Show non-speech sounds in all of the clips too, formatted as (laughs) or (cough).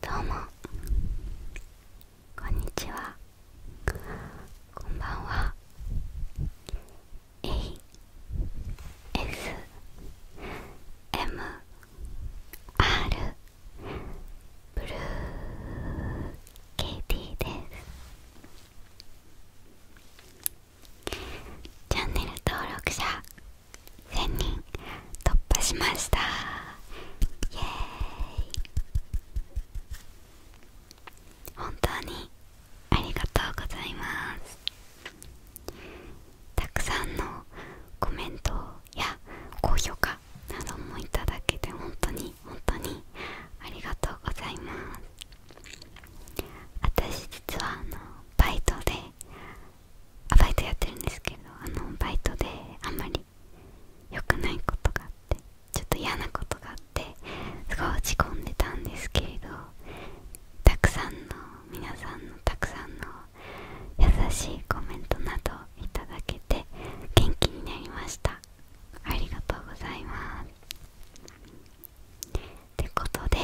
どうもこんにちはこんばんは ASMR ブルーケイティですチャンネル登録者1000人突破しましたイエーイ本当にありがとうございますたくさんのコメントや高評価などもいただけて本当に本当にありがとうございます私実はあのバイトでバイトやってるんですけどあのバイトであんまり良くないことがあってちょっと嫌なことがあってすごい落ち込んでたんですけれどたくさんの皆さんのたくさんの優しいコメントなどいただけて元気になりましたありがとうございますってことで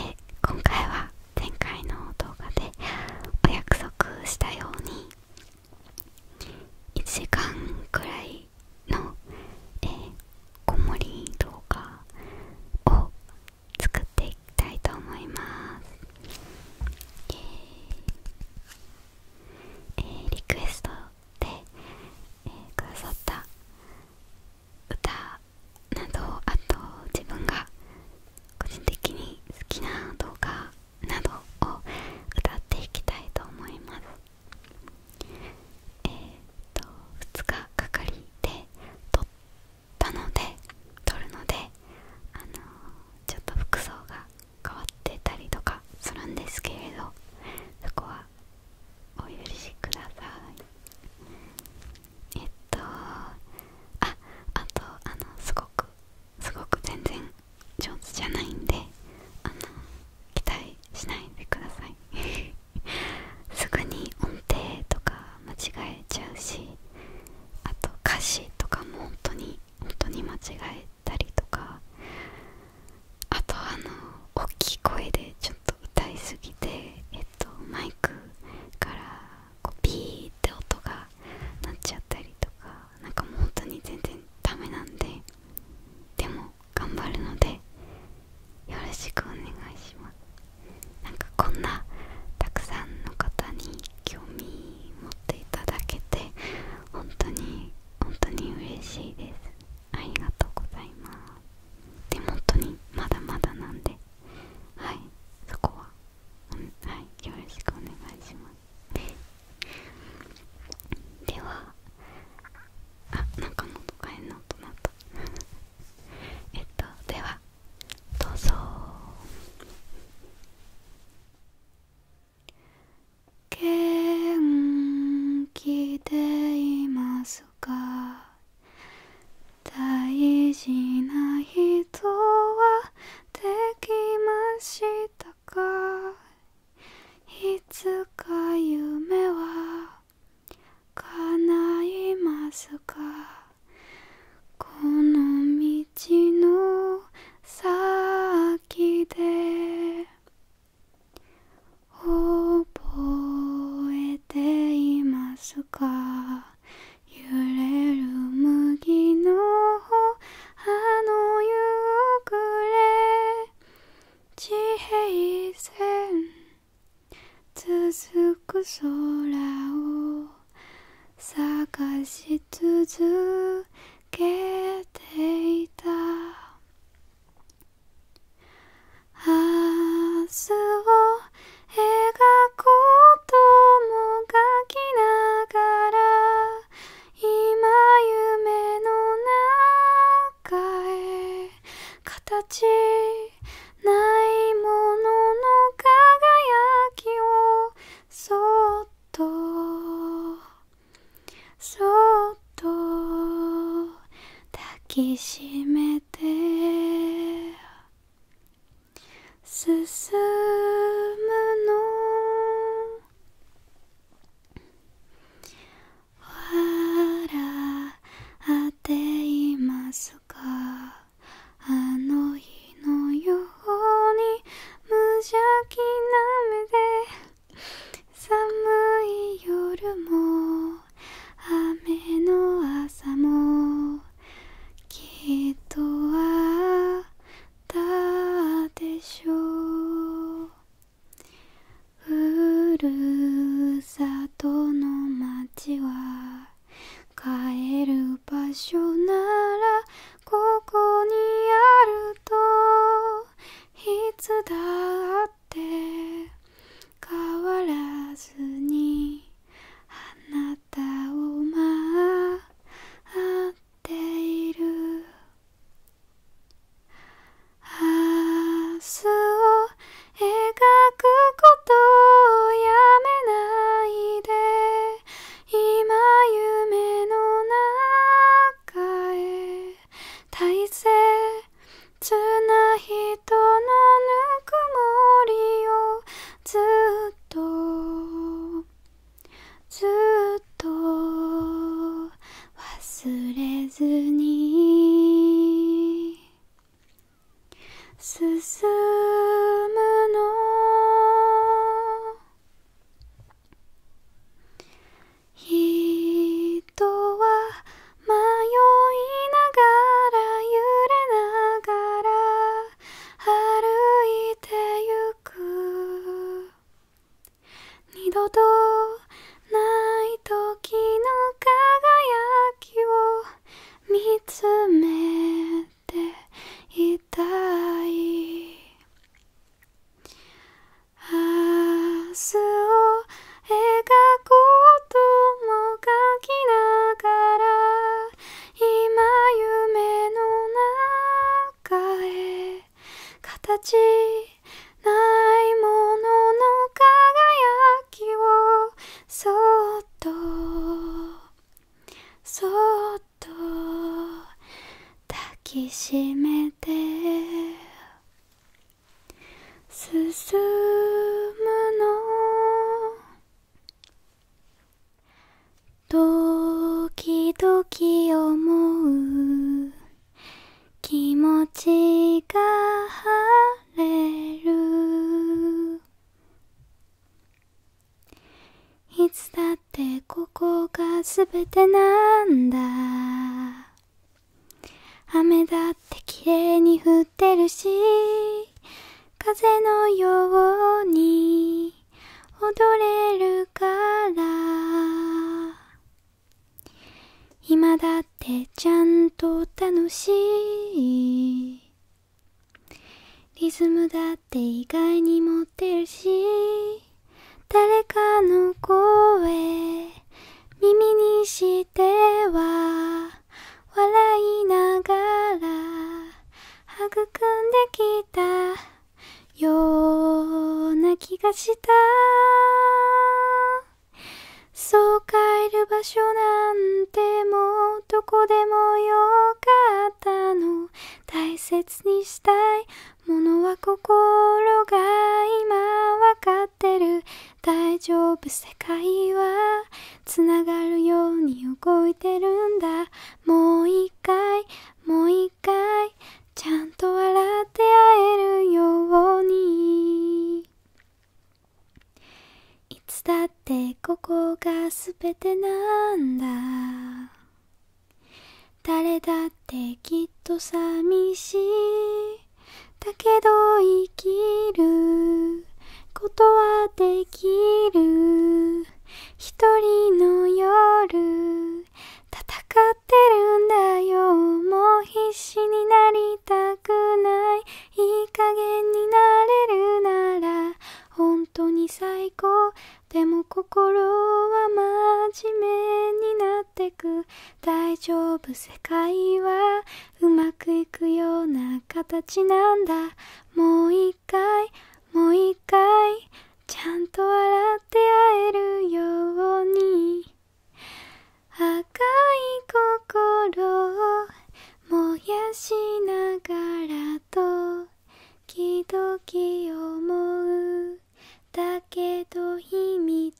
今回は前回の動画でお約束したように1時間くらいの、えー、こもり動画を作っていきたいと思います、えーリクエストで、えくださった歌などあと自分が個人的に好きな動画などを歌っていきたいと思いますえっ、と2日かかりで撮ったので撮るのであのちょっと服装が変わってたりとかするんですけれどそこはお許しくださいえっとああとあのすごくすごく全然上手じゃないんであの期待しないでください (laughs) すぐに音程とか間違えちゃうしあと歌詞とかも本当に本当に間違えたりとかあとあの大きい声でちょっと歌いすぎてえっとマイクからピーって音が鳴っちゃったりとかなんかもう本当に全然ダメなんででも頑張るのでよろしくお願いしますなんかこんなたくさんの方に興味持っていただけて本当に本当に嬉しいですありがとうございますでも本当にまだまだなんではいそこははいよろしくお願いしますではあなんかのとか変なとなった (laughs) えっとではどうぞ元気でいますか大事な人はできましたかいつか夢は叶いますかこの道の先で覚えていますか揺れる麦の葉の夕暮れ地平線続く空を探し続けていた明日を描こうとも描きながら今夢の中へ形ないものの輝きをそっとそっと抱きしめて進むの笑っていますかあの日のように無邪気な目で寒い夜も雨の朝もきっとは。っでしょうふるさとの町は帰る場所ならここにあるといつだって変わらずにあなたを待っている」「明日を描くことをやめないで」「今夢の中へ大切な人のぬくもりをずっと」ずっと忘れずに進むの人は迷いながら揺れながら歩いてゆく二度とない時の輝きを見つめていたい明日を描こうとも書きながら今夢の中へ形ないものの輝きをそっとそっと抱きしめて進むのドキドキ思う気持ちが晴れるいつだってここが全てなんだ雨だってきれいに降ってるし風のように踊れるから今だってちゃんと楽しいリズムだって意外に持ってるし誰かの声耳にしては笑いながら育んできたような気がしたそう変える場所なんてもうどこでもよかったの大切にしたいものは心が今わかってる大丈夫世界はつながるように動いてるんだもう一回もう一回ちゃんと笑って会えるようにいつだってここがすべてなんだ誰だってきっと寂しいだけど生きることはできる一人の夜戦ってるんだよもう必死になりたくないいい加減になれるなら本当に最高でも心は真面目になってく大丈夫世界はうまくいくような形なんだ一回もう一回ちゃんと笑って会えるように赤い心を燃やしながらと時々思うだけど秘密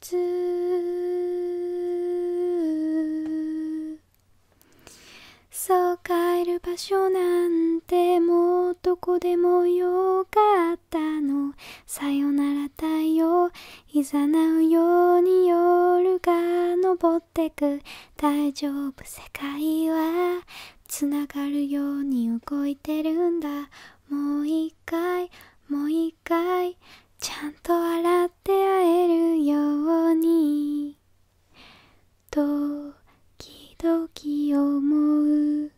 そう帰る場所なんてもうどこでもよかったのさよなら太陽いざなうように夜が昇ってく大丈夫世界はつながるように動いてるんだもう一回もう一回ちゃんと笑って会えるように時々思う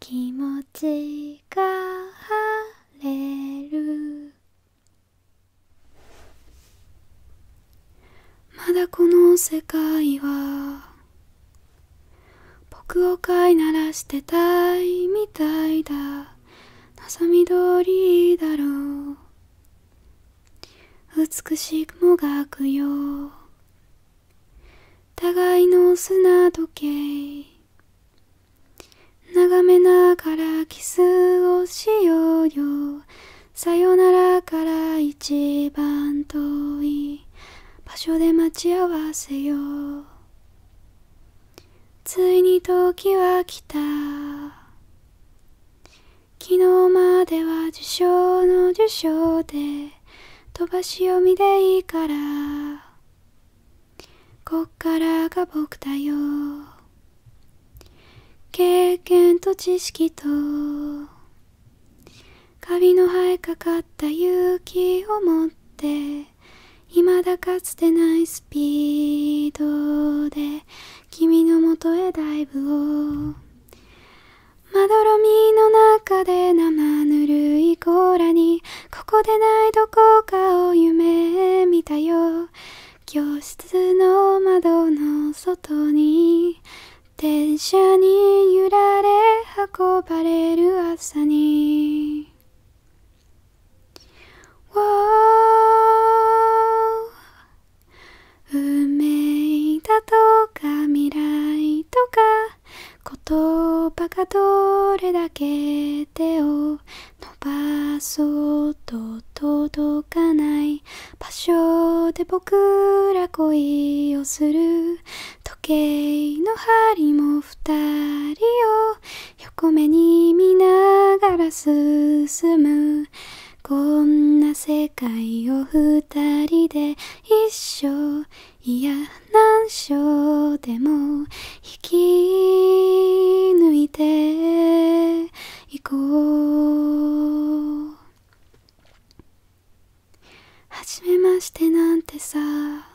気持ちが晴れるまだこの世界は僕を飼いならしてたいみたいだ望み通りだろう美しくもがくよ互いの砂時計眺めながらキスをしようよさよならから一番遠い場所で待ち合わせよう。ついに時は来た昨日までは受賞の受賞で飛ばし読みでいいからこっからが僕だよ経験と知識とカビの生えかかった勇気を持って未だかつてないスピードで君のもとへダイブをまどろみの中で生ぬるいコーラにここでないどこかを夢見たよ教室の窓の外に電車に揺られ運ばれる朝に Wow 埋めたとか未来とか言葉がどれだけ手を伸ばそうと届かない場所で僕ら恋をする時計の針も二人を横目に見ながら進むこんな世界を二人で一生いや何章でも引き抜いていこうはじめましてなんてさは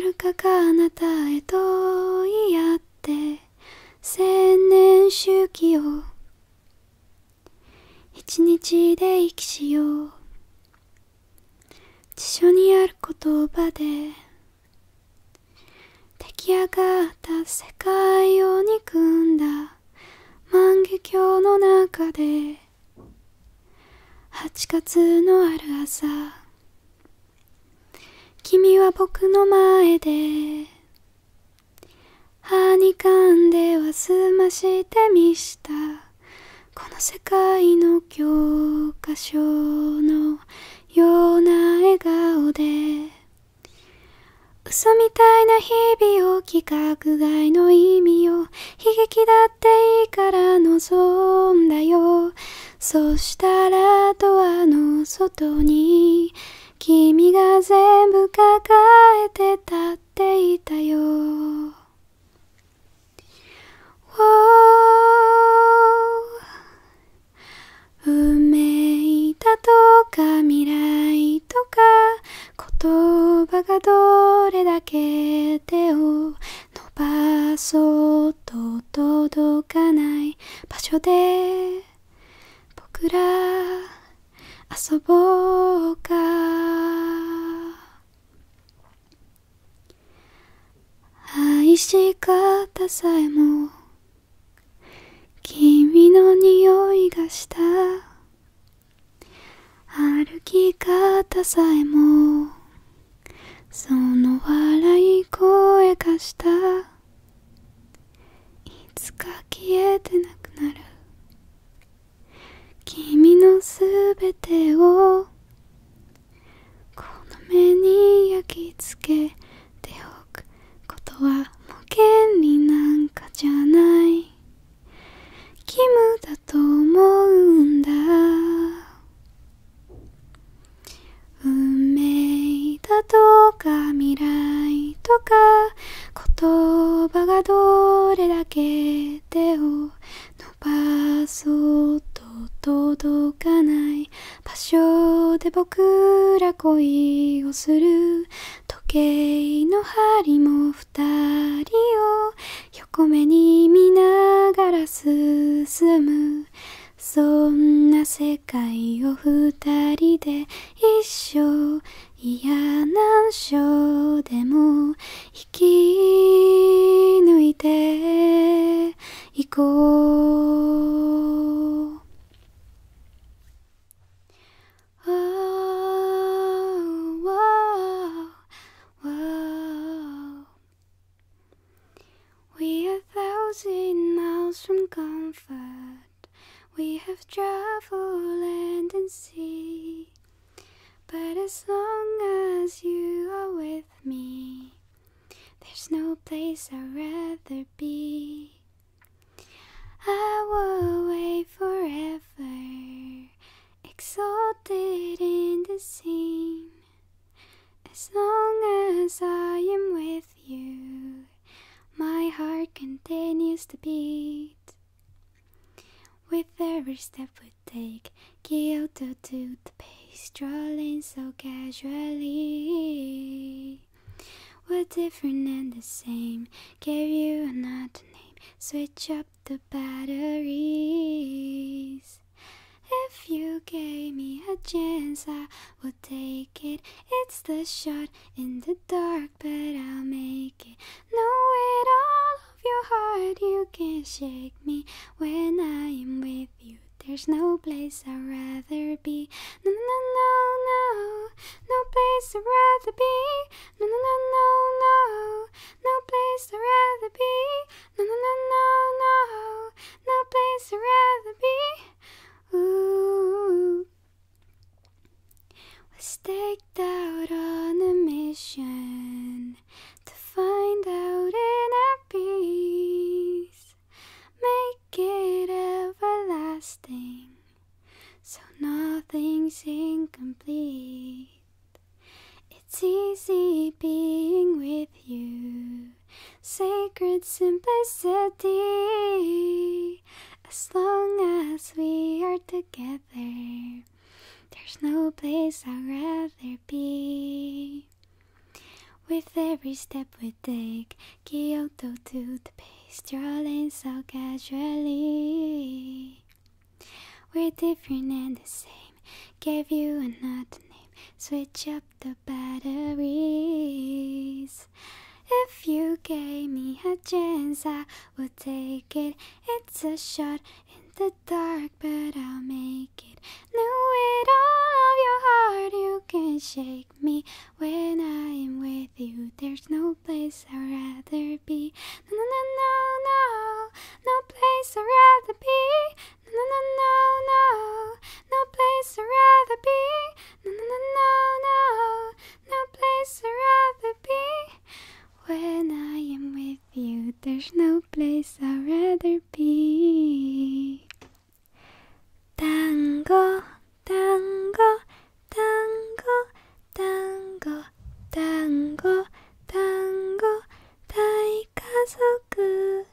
るかかあなたへとい合って千年周期を一日で生きしよう辞書にある言葉で出来上がった世界を憎んだ万華鏡の中で8月のある朝君は僕の前ではにかんではすましてみしたこの世界の教科書のような笑顔で嘘みたいな日々を規格外の意味を悲劇だっていいから望んだよそしたらドアの外に君が全部抱えてたっていたよ」運命たとか未来とか言葉がどれだけ手を伸ばそうと届かない場所で僕ら遊ぼうか愛し方さえも君の匂いがした歩き方さえもその笑い声がしたいつか消えてなくなる君のすべてをこの目に焼き付けておくことはもう権利なんかじゃない義務だと思うんだ運命だとか未来とか言葉がどれだけ手を伸ばそうと届かない場所で僕ら恋をする時計の針も二人を横目に見ながら進むそんな世界を二人で一生いや難所でも引き抜いていこう」「We are thousand miles from comfort We have traveled land and sea, but as long as you are with me, there's no place I'd rather be. I will wait forever, exalted in the scene. As long as I am with you, my heart continues to beat. With every step we take, Kyoto to the pace, strolling so casually. We're different and the same, Give you another name, switch up the batteries. If you gave me a chance, I would take it. It's the shot in the dark dark, but I'll make it. Know it all of your heart, you can't shake me when I am with you. There's no place I'd rather be. No, no, no, no, no, no place I'd rather be. No, no, no, no, no, no place I'd rather be. No, no, no, no, no, no place I'd rather be. Ooh. We're staked out on a mission to find out inner peace, make it everlasting, so nothing's incomplete. It's easy being with you, sacred simplicity as long as we are together. There's no place I'd rather be. With every step we take, Kyoto to the base, strolling so casually. We're different and the same. Give you another name. Switch up the batteries. If you gave me a chance, I would take it. It's a shot in the dark, but I'll make it. Know it all of your heart, you can shake me when I am with you. There's no place I'd rather be. No, no, no, no, no, no place I'd rather be. No, no, no, no, no, no place I'd rather be. No, no, no, no, no no place I'd rather be. When I am with you, there's no place I'd rather be. Tango, tango, tango, tango, tango, tango, daikazoku.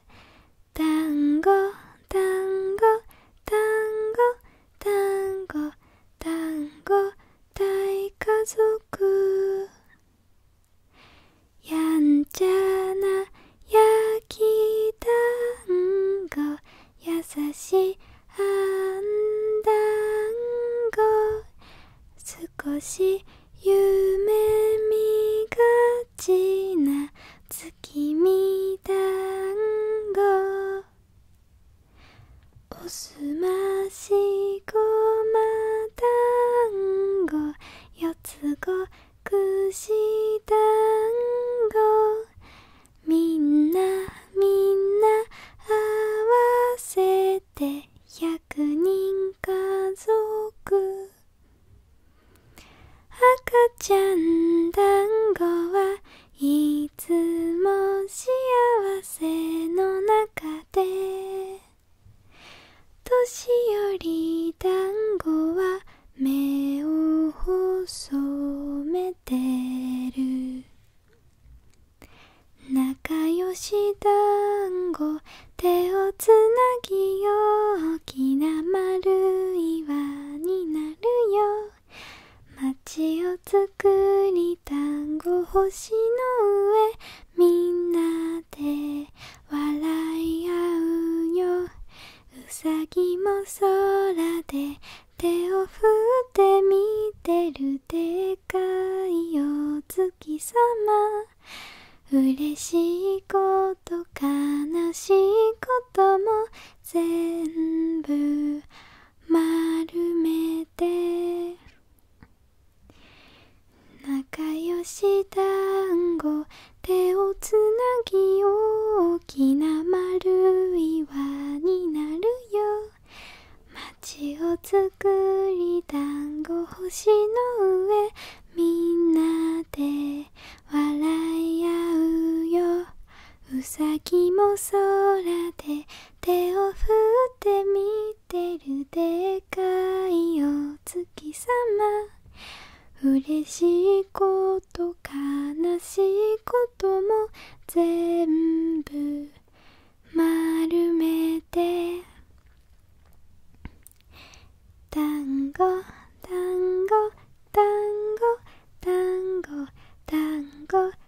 Tango, tango, tango, 単語単語大家族やんちゃな焼き団子優しいあんだんご少し夢見がちな月見団子おすましごまだんごよつごくしだんごみんなみんなあわせてにんかぞく、あかちゃんだんごはいいつも幸せの中で」「年寄り団子は目を細めてる」「仲良し団子手をつなぎよう。大きな丸い輪になるよ」「街くに単語星の上みんなで笑い合うようさぎも空で手を振って見てるでかいお月様嬉しいこと悲しいことも全部丸めて仲良し団子手をつなぎ大きな丸い輪になるよ街をつくり団子星の上みんなで笑い合うようさぎも空で手を振ってみてるでかいお月様嬉しいこと悲しいことも全部丸めて団子団子団子団子団子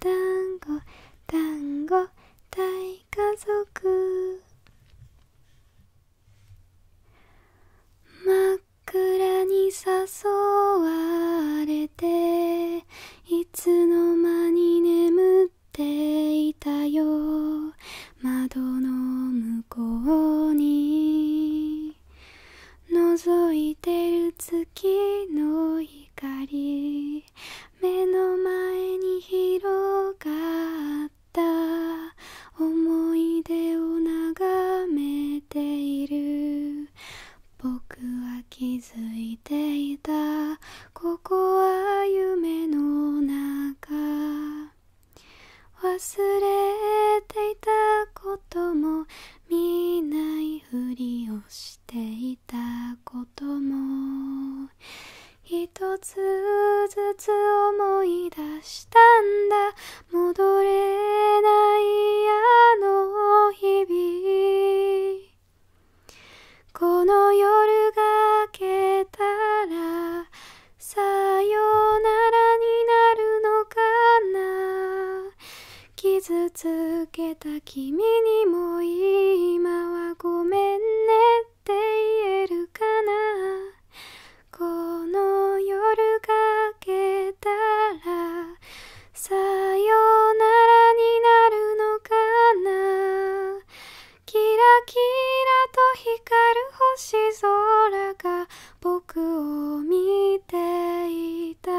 団子団子大家族真っ暗に誘われていつの間に眠っていたよ窓の向こうに覗いてる月の日光目の前に広がった思い出を眺めている僕は気づいていたここは夢の中忘れていたことも見ないいふりをしていたことも一つずつ思い出したんだ戻れないあの日々この夜が明けたらさよならになるのかな傷つけた君にも今はごめんねって言えるかなこの夜がけたらさよならになるのかなキラキラと光る星空が僕を見ていた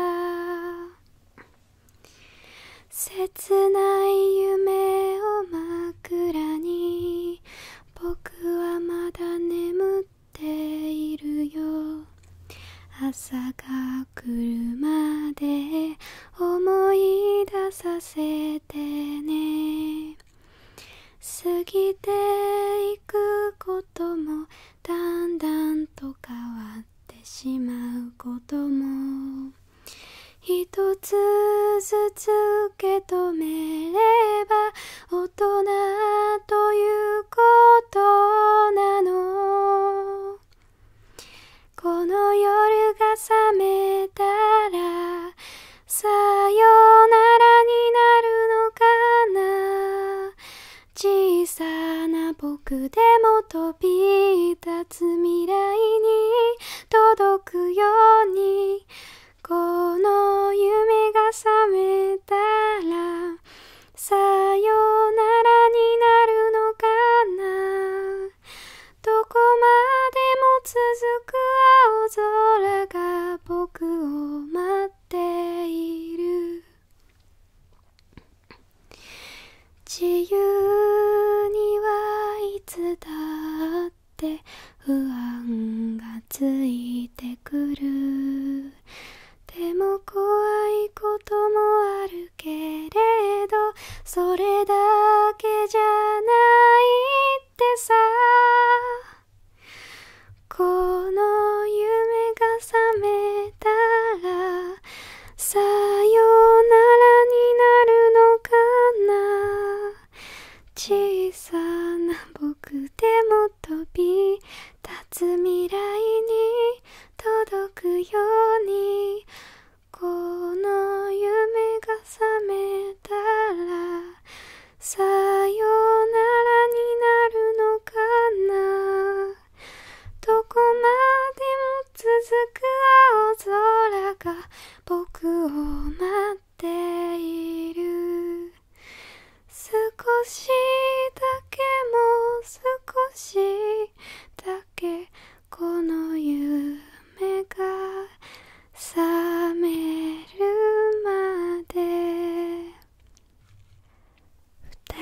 切ない夢を枕に僕はまだ眠っているよ朝が来るまで思い出させてね過ぎていくこともだんだんと変わってしまうことも一つずつ受け止めれば大人ということなのこの夜が覚めたらさよならになるのかな小さな僕僕でも飛び立つ未来に届くようにこの夢が覚めたらさよならになるのかなどこまでも続く青空が僕を待っている自由にはいつだって不安がついてくるでも怖いこともあるけれどそれだけじゃないってさこの夢が覚めたらさようならになるのかな小さな僕でも飛び立つ未来に届くようにこの夢が覚めたらさようならになるのかなどこまでも続く青空が僕を待っている少しだけもう少しだけこの夢が覚めるまで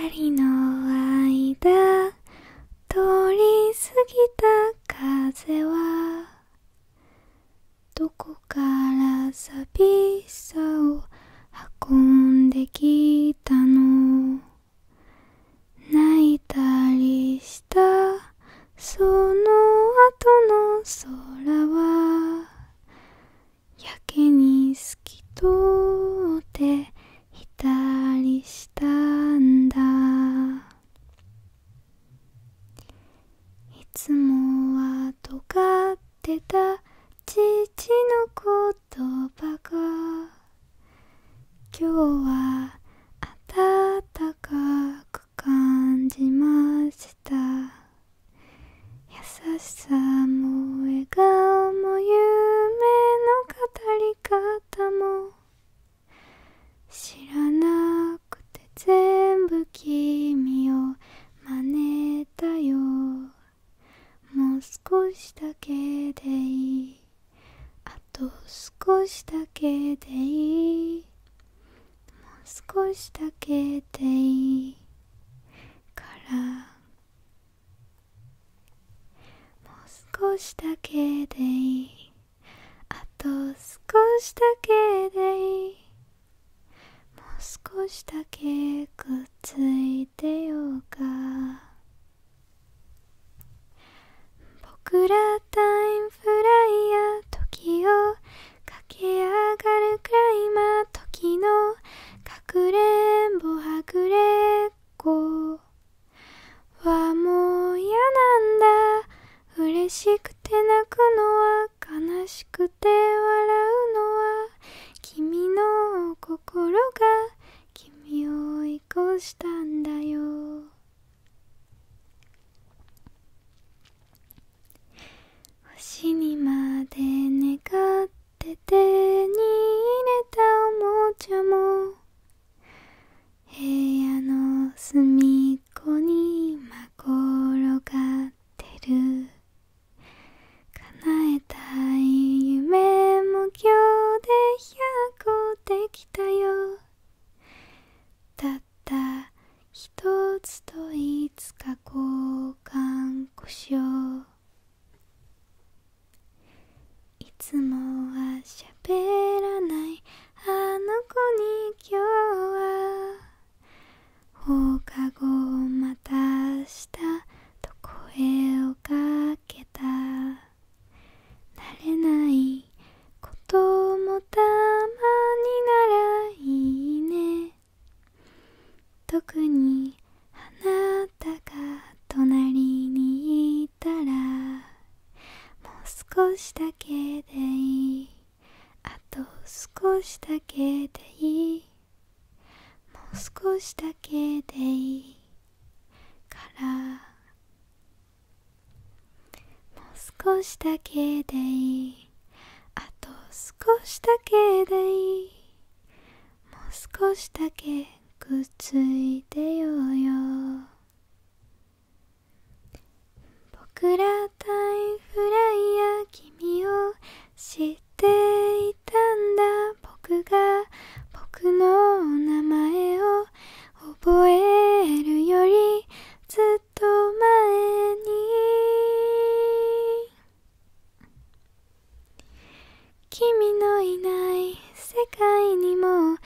二人の間通り過ぎた風はどこから寂しさを運んできたの泣いたりしたその後の空はやけに透き通っていたりしたんだいつもは尖ってた父の言葉が今日は暖かく感じました優しさも笑顔も夢の語り方も知らなくて全部君を真似たよもう少しだけでいいあと少しだけでいいもう少しだけでいいからもう少しだけでいいあと少しだけでいいもう少しだけくっついてようか僕らタイムフライヤー時を駆け上がるくらい今時のかくれんぼはぐれっこはもう嫌なんだ嬉しくて泣くのは悲しくて笑うのは君の心が君を追い越したんだよ星にまで願って手に入れたおもちゃも部屋の隅っこにまころがってる叶えたい夢も今日で100個できたよたった一つといつか交換故障いつもはしゃべらないあの子に今日は放課後また明日と声をかけた慣れないこともたまにならいいね特にあなたが隣にいたらもう少しだけでいいあと少しだけでいいもう少しだけでいいからもう少しだけでいいあと少しだけでいいもう少しだけくっついてようよ僕らタイフライヤー君を知っていたんだ僕が僕の名前を覚えるよりずっと前に君のいない世界にも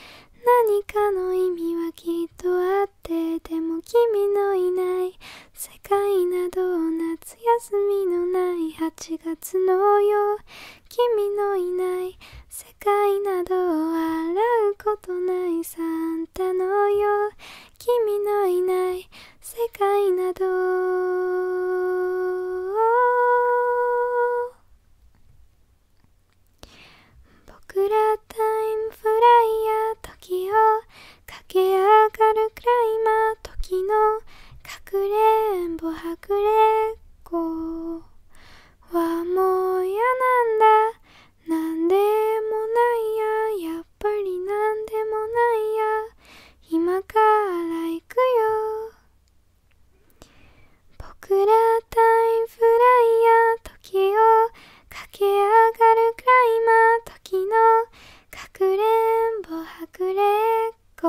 何かの意味はきっとあってでも君のいない世界など夏休みのない8月のよう君のいない世界など笑うことないサンタのよ君のいない世界など僕らタイムフライヤー時を駆け上がるくらい。マー時のかくれんぼはくれっこはもう嫌なんだなんでもないややっぱりなんでもないや今から行くよ僕らタイムフライヤー時を駆け上がるクライマー時のかくれんぼはくれっこ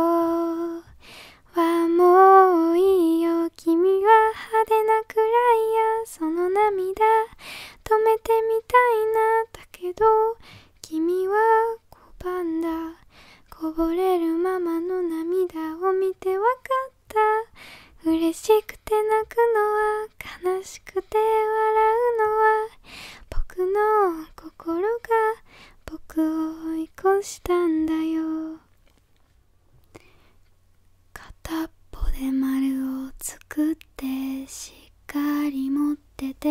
はもういいよ君は派手なくらいやその涙止めてみたいなだけど君は拒んだこぼれるままの涙を見てわかった嬉しくて泣くのは悲しくて笑うのは僕の心が僕を追い越したんだよ片っぽで丸を作ってしっかり持ってて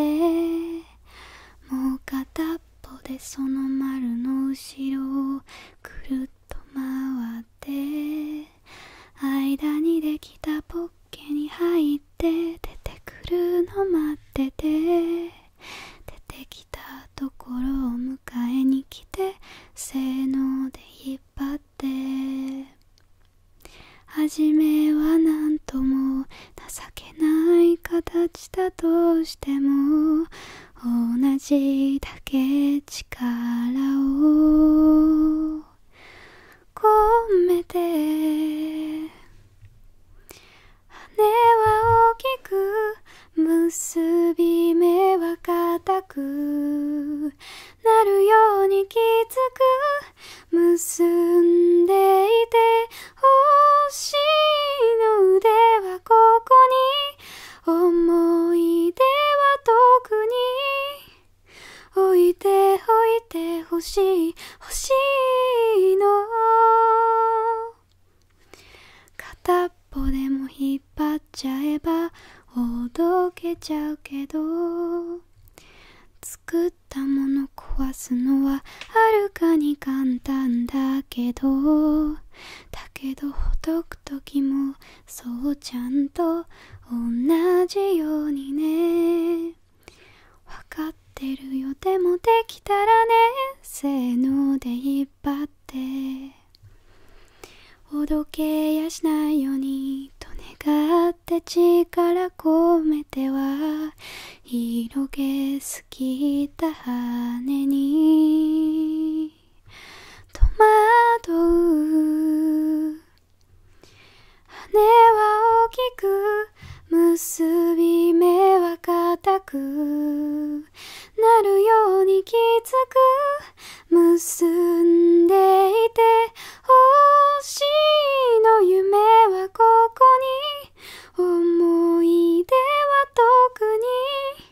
もう片っぽでその丸の後ろをくるっと回って間にできたポッケに入って出てくるの待ってて出てきたところを迎えに来てせーので引っ張って初めはなんとも情けない形だとしても同じだけ力を込めて羽は大きく結び目は硬くなるようにきつく結んでいて欲しいの腕はここに思い出は特に置いておいてほしい欲しいの片っぽでも引っ張っちゃえばほどけちゃうけど作ったもの壊すのははるかに簡単だけどだけどほどく時もそうちゃんと同じようにねわかってるよでもできたらねせーので引っ張っておどけやしないようにと願って力込めては広げすぎた羽に戸惑う羽は大きく結び目は固くなるようにきつく結んでいて欲しいの夢はここに思い出は特に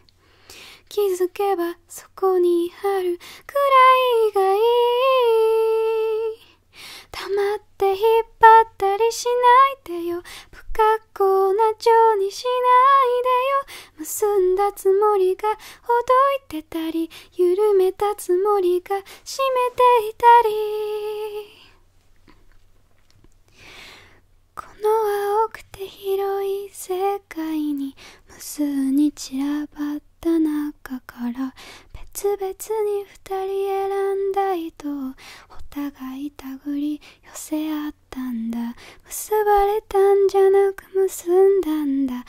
気づけばそこにあるくらいがいい黙って引っ張ったりしないでよ不格好な情にしないでよ結んだつもりがほどいてたり緩めたつもりが締めていたりこの青くて広い世界に無数に散らばった中から別々に2人選んだ糸をお互いたぐり寄せ合ったんだ結ばれたんじゃなく結んだんだ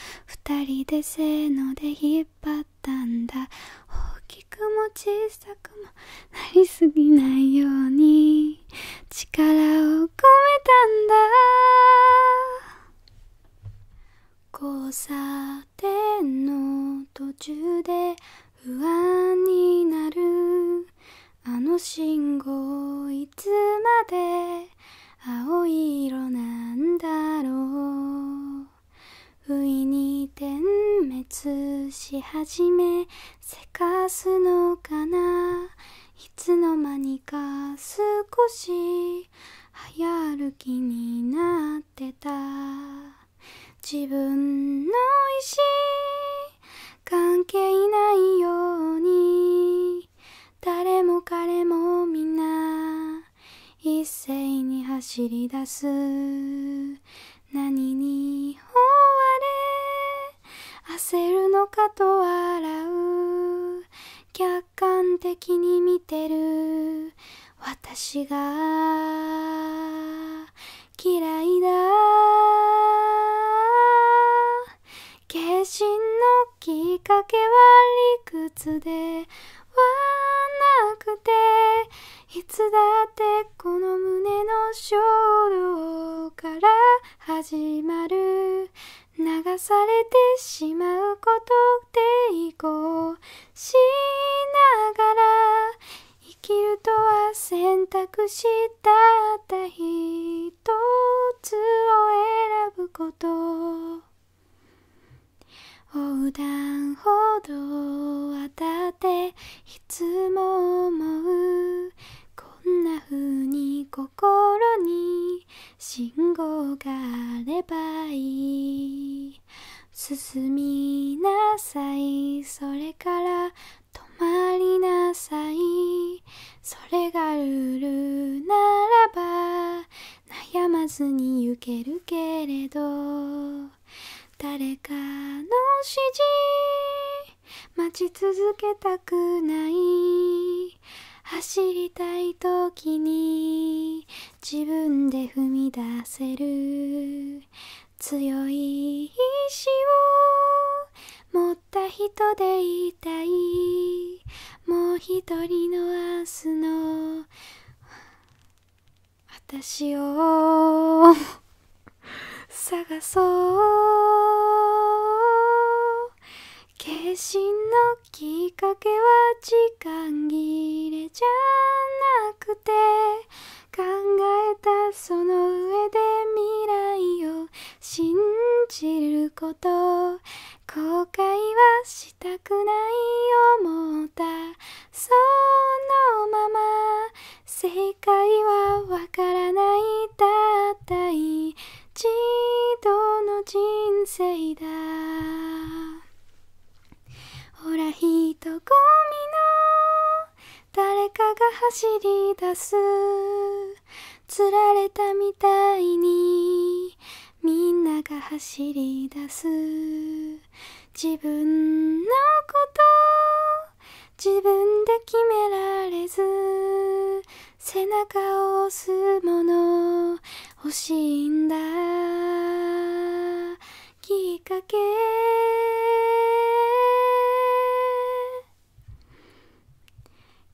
2人でせーので引っ張ったんだ大きくも小さくもなりすぎないように力を込めたんだ交差点の途中で不安になるあの信号いつまで青い色なんだろう不意に点滅し始めせかすのかないつのまにか少し早歩きになってた自分の意思関係ないように誰も彼もみんな一斉に走り出す何に追われ焦るのかと笑う客観的に見てる私が嫌いだ決心のきっかけは理屈ではなくていつだってこの胸の衝動から始まる流されてしまうことでいこうしながら生きるとは選択したったつを選ぶこと横断歩道渡っていつも思うこんな風に心心に信号があればいい進みなさいそれから止まりなさいそれがルールならば悩まずに行けるけれど誰かの指示待ち続けたくない走りたいときに自分で踏み出せる強い意志を持った人でいたいもう一人の明日の私を探そう決心のきっかけは時間切れじゃなくて考えたその上で未来を信じること後悔はしたくない思ったそのまま正解はわからないたった一度の人生だほら人混みの誰かが走り出すつられたみたいにみんなが走り出す自分のこと自分で決められず背中を押すもの欲しいんだきっかけ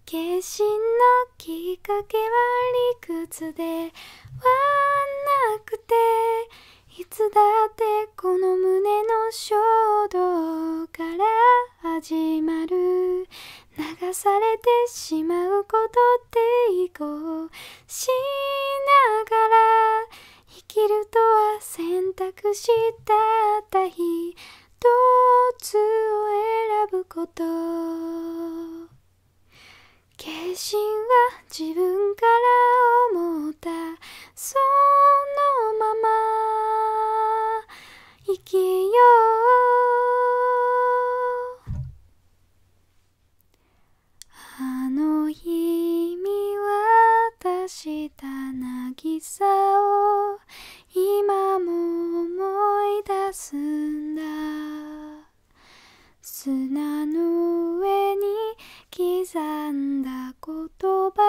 決心のきっかけは理屈ではなくていつだってこの胸の衝動から始まる流されてしまうことってこうしながら生きるとは選択したった一つを選ぶこと決心は自分から思ったそのまま生きようあの日見渡した渚を今も思い出すんだ砂の上に刻んだ言葉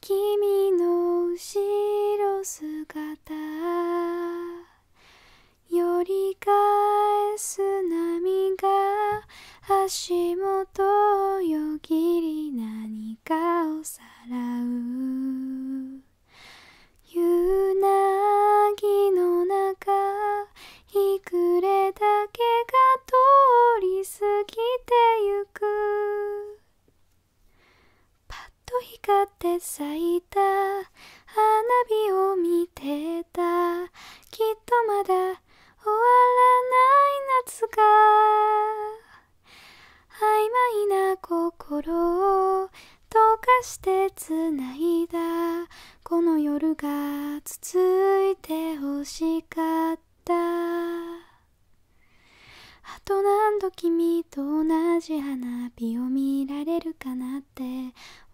君の後ろ姿寄り返す波が足元をよぎり何かをさらうゆなぎの中日くれだけが通り過ぎてゆくパッと光って咲いた花火を見てたきっとまだ終わらない夏が曖昧な心を溶かしてつないだこの夜が続いてほしかったあと何度君と同じ花火を見られるかなって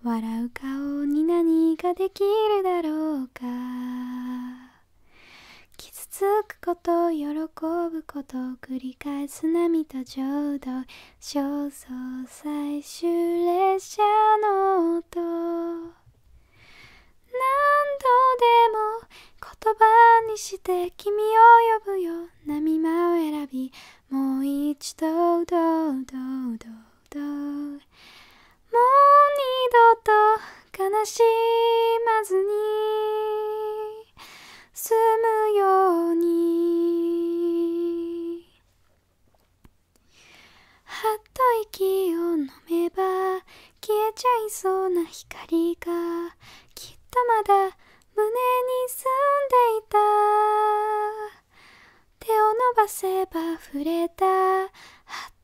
笑う顔に何ができるだろうか傷つくこと喜ぶこと繰り返す波と浄土焦燥最終列車の音何度でも言葉にして君を呼ぶよな見間を選びもう一度どどうどうどうもう二度と悲しまずに済むようにはっと息を飲めば消えちゃいそうな光がきっとまだ胸に住んでいた手を伸ばせば触れたあっ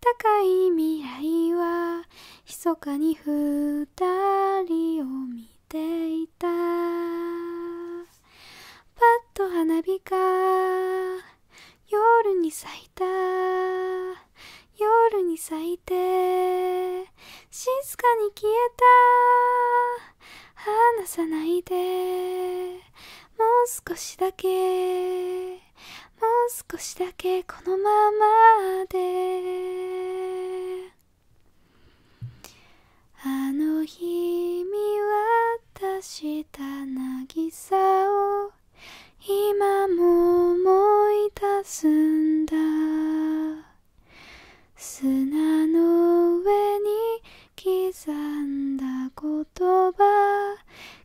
たかい未来は密かに二人を見ていたパッと花火が夜に咲いた夜に咲いて静かに消えた離さないでもう少しだけもう少しだけこのままであの日見渡した渚を今も思い出すんだ砂の上に刻んだ言葉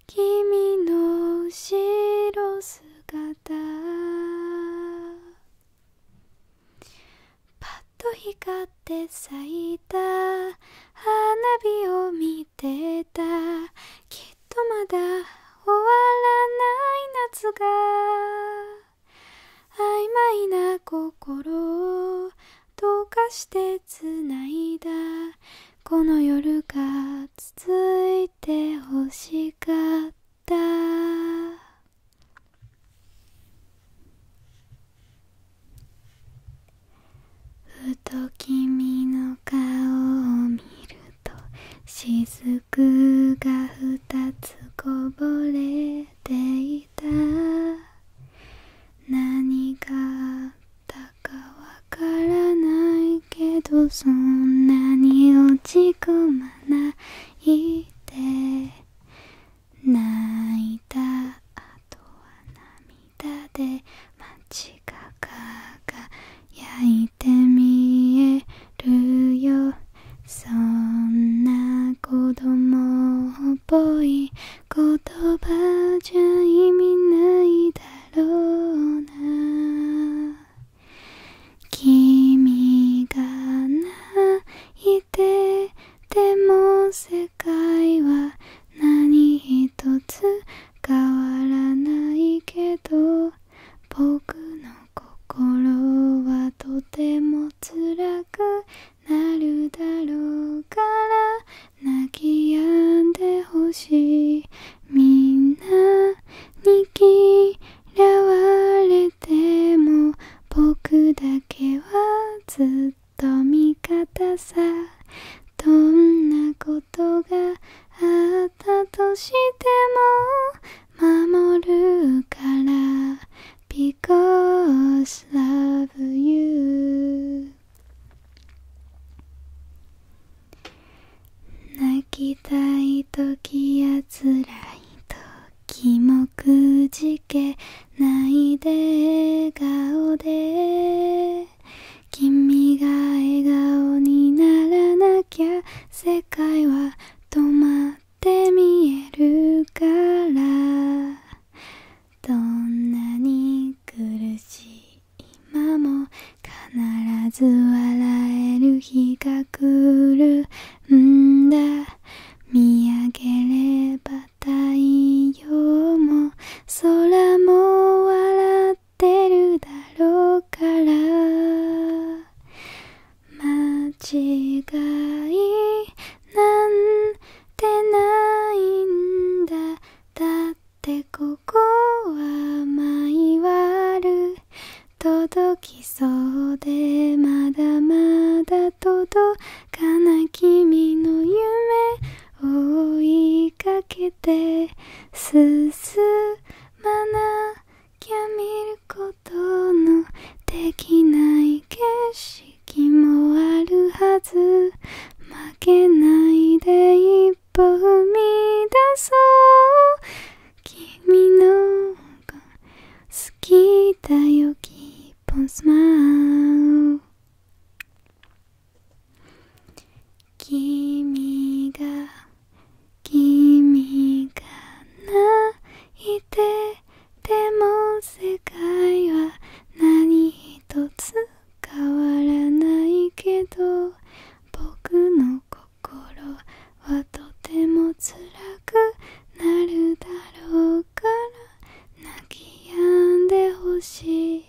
君の後ろ姿パッと光って咲いた花火を見てたきっとまだ終わらない夏が曖昧な心を溶かしてつないだこの夜が続いてほしかったふと君の顔を見ると雫が二つこぼれていた。何があったかわからないけどそんなに落ち込まないで」「泣いたあとは涙で間街が焼いて見えるよ」そんな子供っぽい言葉じゃ意味ないだろうな君が泣いてでも世界は何一つ変わらないけど僕の心はとてもも辛くなるだろうから泣き止んでほしいみんなに嫌われても僕だけはずっと味方さどんなことがあったとしても守るから」「Because love you」「泣きたい時やつらい時もくじけないで笑顔で」「君が笑顔にならなきゃ世界は止まって」て見えるからどんなに苦しい今も必ず笑える日が来るんだ見上げれば太陽も空も笑ってるだろうから間違いなんてないんだだってここは毎わる届きそうでまだまだ届かな君の夢追いかけて進まなきゃ見ることのできない景色もあるはず負けないで一歩踏み出そう君のが好きだよ Keep on 君が君が泣いてでも世界は何一つ変わらないけど僕の心はとても辛くなるだろうから泣き止んでほしい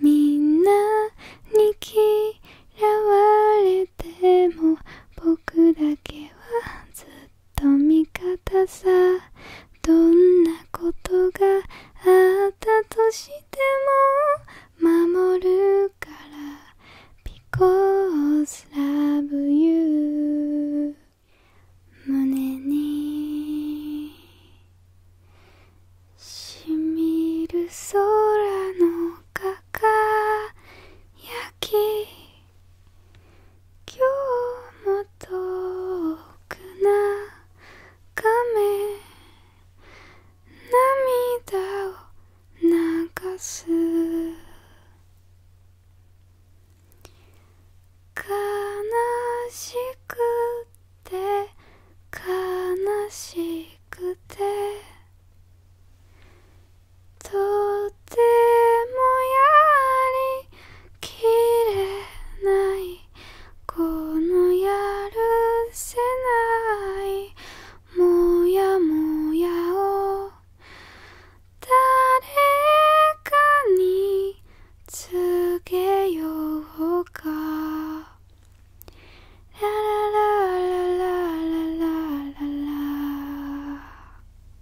みんなに嫌われても僕だけはずっと味方さどんなことがあったとしても守るから Because love you 胸にしみる空のかか焼き今日も遠くなかめ涙を流す悲しくて悲しくて」「もやりきれないこのやるせないもやもやを誰かに告げようかラララララララララ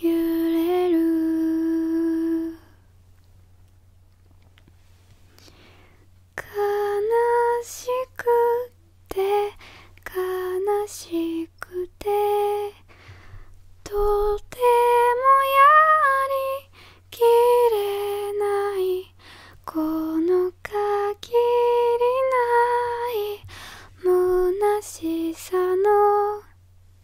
揺れる悲しくて悲しくてとてもやりきれないこの限りない虚しさの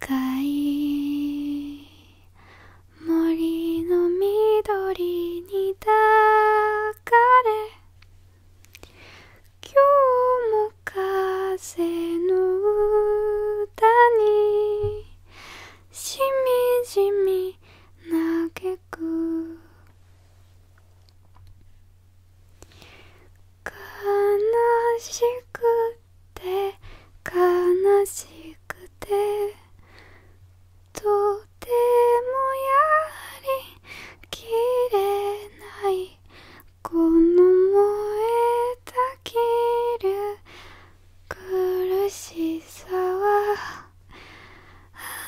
深い森の緑に抱かれ今日も風の歌にしみじみ嘆く悲しくて悲しくてとてもやはりきれないこの燃えたぎる苦しさは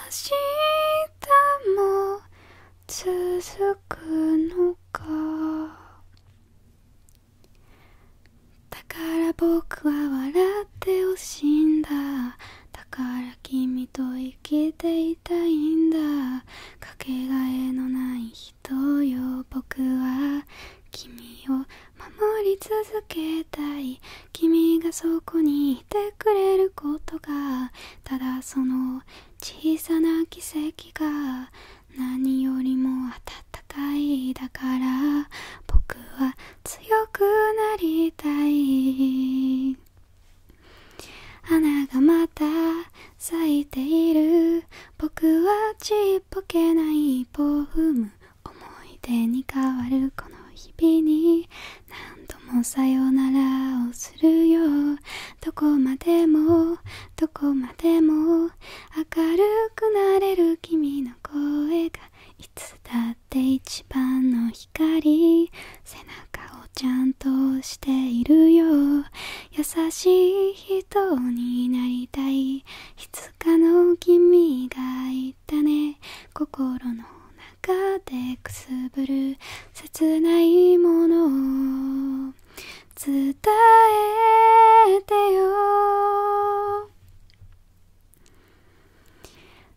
明日も続くのかだから僕は笑ってほしいんだだから君と生きていたいんだかけがえのない人よ僕は君を守り続けたい君がそこにいてくれることがただその小さな奇跡が何よりも温かいだから僕は強くなりたい花がまた咲いている僕はちっぽけないポーフム思い出に変わるこの日々に何度もさよならをするよどこまでもどこまでも明るくなれる君の声がいつだって一番の光背中をちゃんとしているよ優しい人になりたいいつかの君がいたね心の中でくすぶる切ないものを。伝えてよ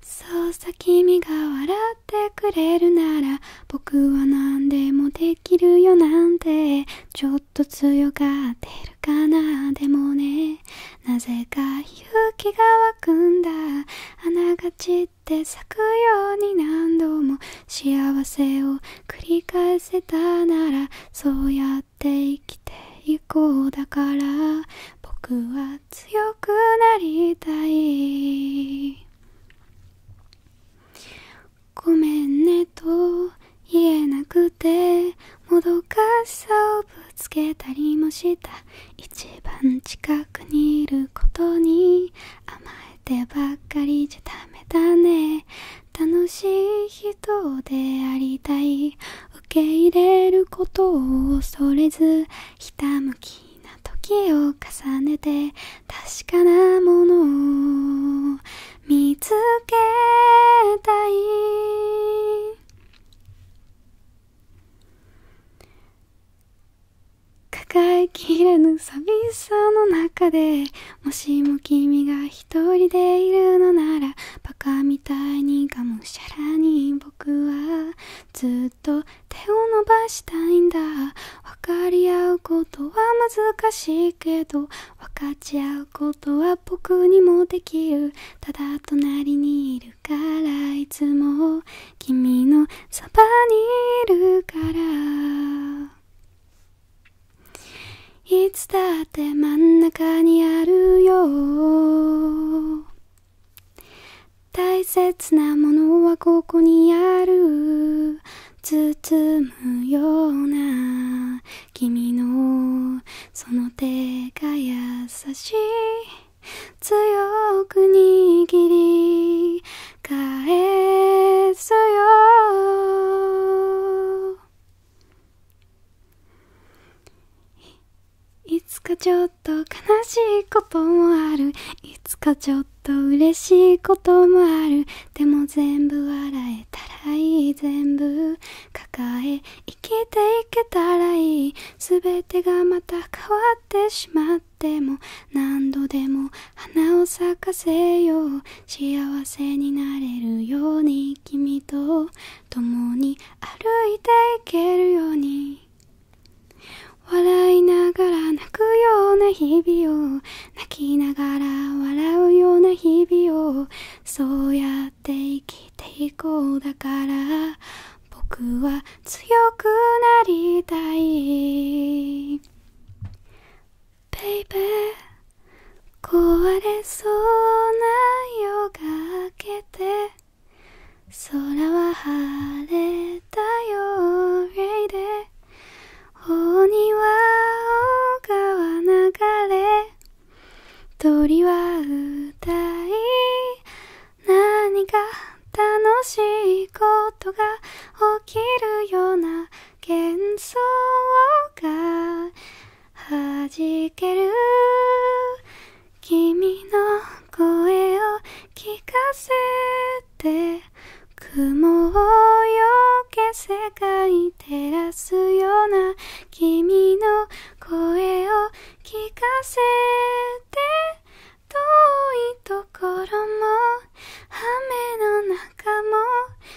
そうさ君が笑ってくれるなら僕は何でもできるよなんてちょっと強がってるかなでもねなぜか勇気が湧くんだあながちって咲くように何度も幸せを繰り返せたならそうやって生きていこうだから僕は強くなりたいごめんねと言えなくてもどかしさをぶつけたりもした一番近くにいることに甘えてばっかりじゃダメだね楽しい人でありたい受け入れることを恐れずひたむきな時を重ねて確かなものを見つけたい抱えきれぬ寂しさの中でもしも君が一人でいるのならバカみたいにがむしゃらに僕はずっと手を伸ばしたいんだ分かり合うことは難しいけど分かち合うことは僕にもできるただ隣にいるからいつも君のそばにいるからいつだって真ん中にあるよ大切なものはここにある包むような君のその手が優しい強く握り返すよいつかちょっと悲しいこともあるいつかちょっと嬉しいこともあるでも全部笑えたらいい全部抱え生きていけたらいい全てがまた変わってしまっても何度でも花を咲かせよう幸せになれるように君と共に歩いていけるように笑いながら泣くような日々を泣きながら笑うような日々をそうやって生きていこうだから僕は強くなりたい Baby 壊れそうな夜が明けて空は晴れたよレイで大庭川流れ鳥は歌い何か楽しいことが起きるような幻想が弾ける君の声を聞かせて雲をよけ世界照らすような君の声を聞かせて遠いところも雨の中も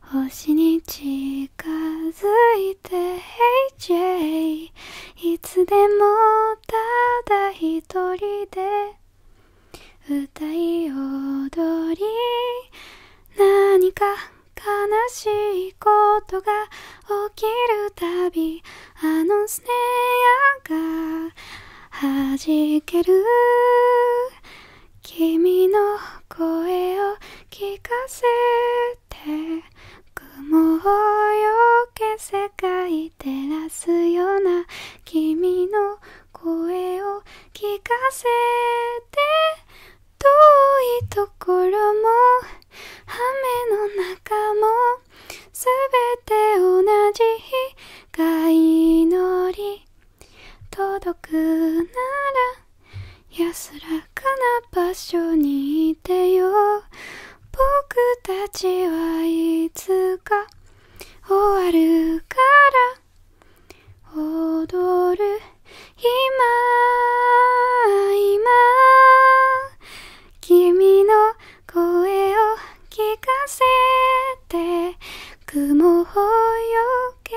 星に近づいて HJ、hey、いつでもただ一人で歌い踊り何か悲しいことが起きるたびあのスネアが弾ける君の声を聞かせて雲をよけ世界照らすような君の声を聞かせて遠いところも雨の中も全て同じ光祈り届くなら安らかな場所にいてよ僕たちはいつか終わるから踊る今今君の声を聞かせて雲をよ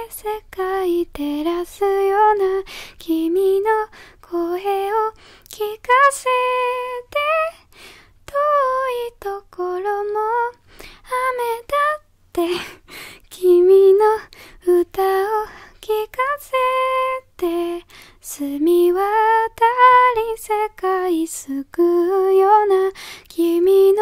世界照らすような君の声を聞かせて遠いところも雨だって君の歌を聞かせて澄み渡り世界救うような君の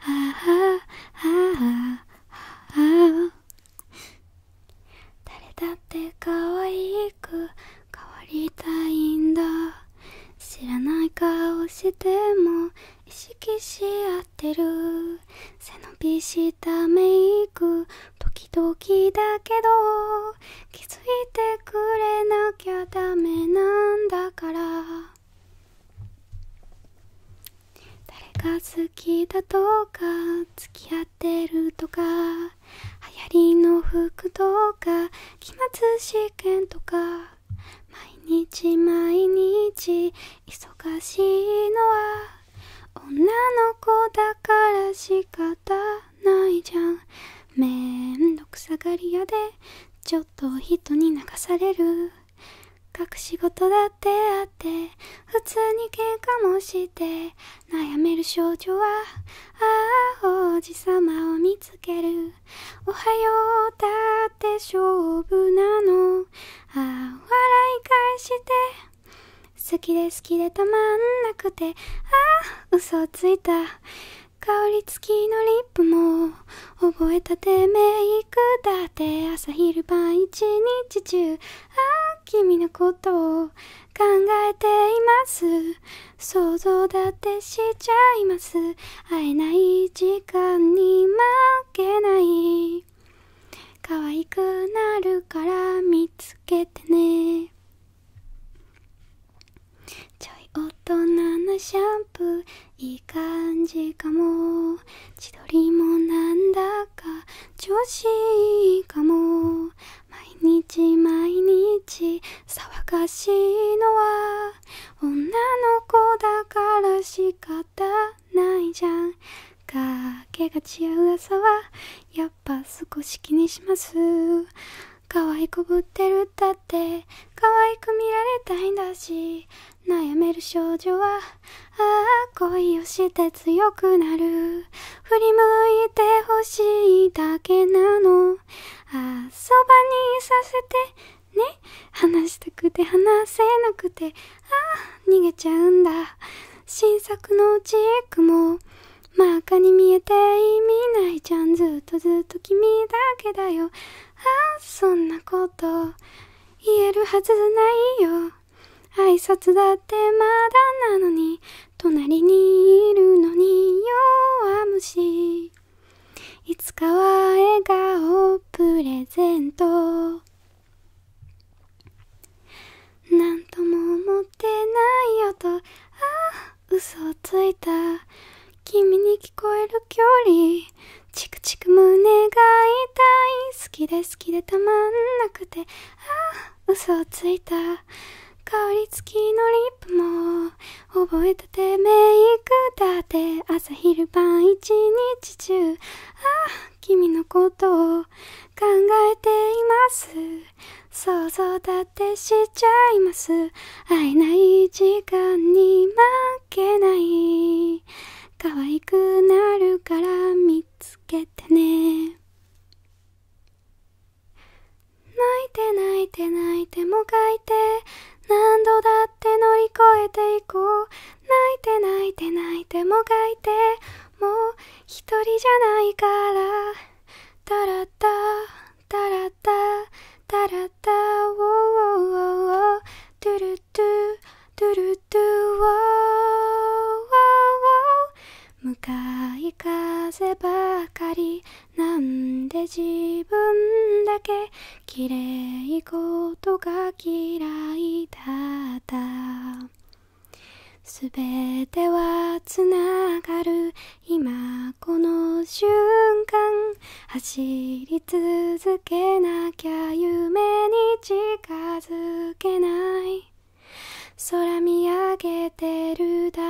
あああ誰だって可愛く変わりたいんだ知らない顔しても意識し合ってる背伸びしたメイク時々だけど気づいてくれなきゃダメなんだから誰が好きだとか付き合ってるとか流行りの服とか期末試験とか毎日毎日忙しいのは女の子だから仕方ないじゃんめんどくさがり屋でちょっと人に流される隠し事だってあって普通に喧嘩もして悩める少女はああ王子様を見つけるおはようだって勝負なのああ笑い返して好きで好きでたまんなくてああ嘘ついた香り付きのリップも覚えたてめいだって朝昼晩一日中ああ君のことを考えています想像だってしちゃいます会えない時間に負けない可愛くなるから見つけてねちょい大人なシャンプーいい感じかも千鳥もなんだか調子いいかも毎日毎日騒がしいのは女の子だから仕方ないじゃんかけがちう朝はやっぱ少し気にします可愛くぶってるだって可愛く見られたいんだし悩める少女はああ恋をして強くなる振り向いてほしいだけなのああそばにいさせてね話したくて話せなくてああ逃げちゃうんだ新作のチークも真っ赤に見えて意味ないじゃんずっとずっと君だけだよああそんなこと言えるはずないよ挨拶だってまだなのに隣にいるのに弱虫いつかは笑顔プレゼントなんとも思ってないよとああ嘘をついた君に聞こえる距離チクチク胸が痛い好きで好きでたまんなくてああ嘘をついた香り付きのリップも覚えたてメイクだて朝昼晩一日中ああ君のことを考えています想像立てしちゃいます会えない時間に満けない可愛くなるから見つけてね泣いて泣いて泣いてもがいて何度だって乗り越えていこう泣いて泣いて泣いてもがいてもう一人じゃないからタラッタタラッタタラッタウォーウォーウォウトゥルトゥドゥルドゥー。向かい風ばかりなんで自分だけきれいことが嫌いだったすべてはつながる今この瞬間走り続けなきゃ夢に近づけない空見上げてるだ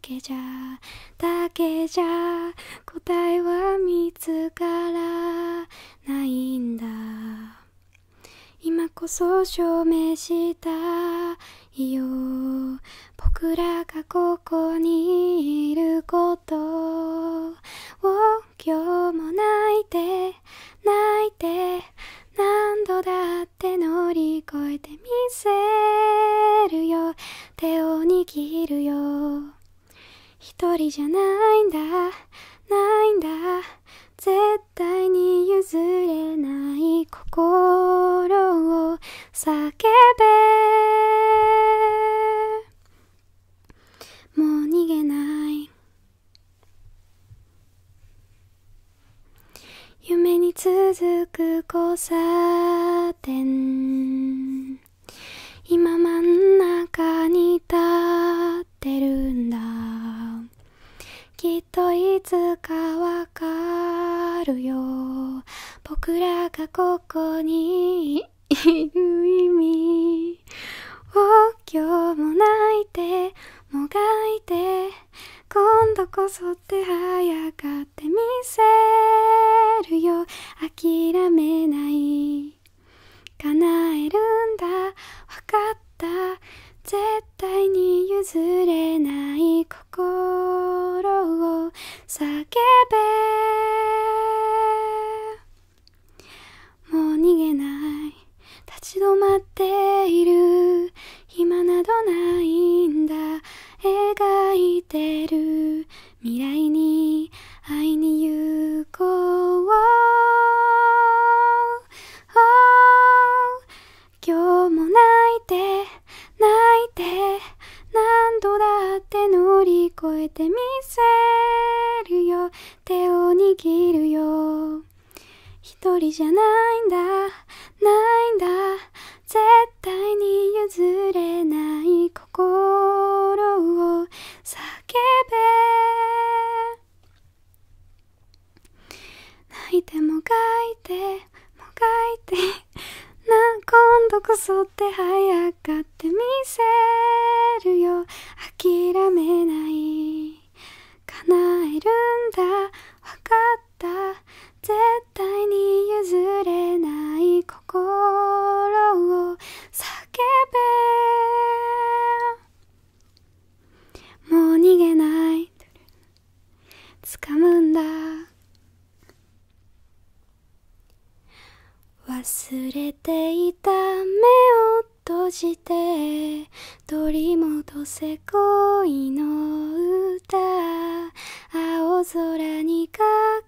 けじゃだけじゃ答えは見つからないんだ今こそ証明したいよ僕らがここにいることを今日も泣いて泣いて何度だって乗り越えてみせるよ手を握るよ一人じゃないんだないんだ絶対に譲れない心を叫べもう逃げない夢に続く交差点今真ん中に立ってるんだきっといつかわかるよ僕らがここににいる意味を今日も泣いてもがいて今度こそって早かってみせるよ諦めない叶えるんだわかった絶対に譲れない心を叫べもう逃げない立ち止まっている暇などないんだ描いてる未来に会いに行こう今日も泣いて泣いて何度だって乗り越えてみせるよ手を握るよ一人じゃないんだないんだ絶対に譲れない心を叫べ泣いても書いても書いてな今度こそって早かっってみせるよ諦めない叶えるんだわかった絶対に譲れない心を叫べもう逃げない掴むんだ忘れていた目を閉じて取りとせ恋の歌青空に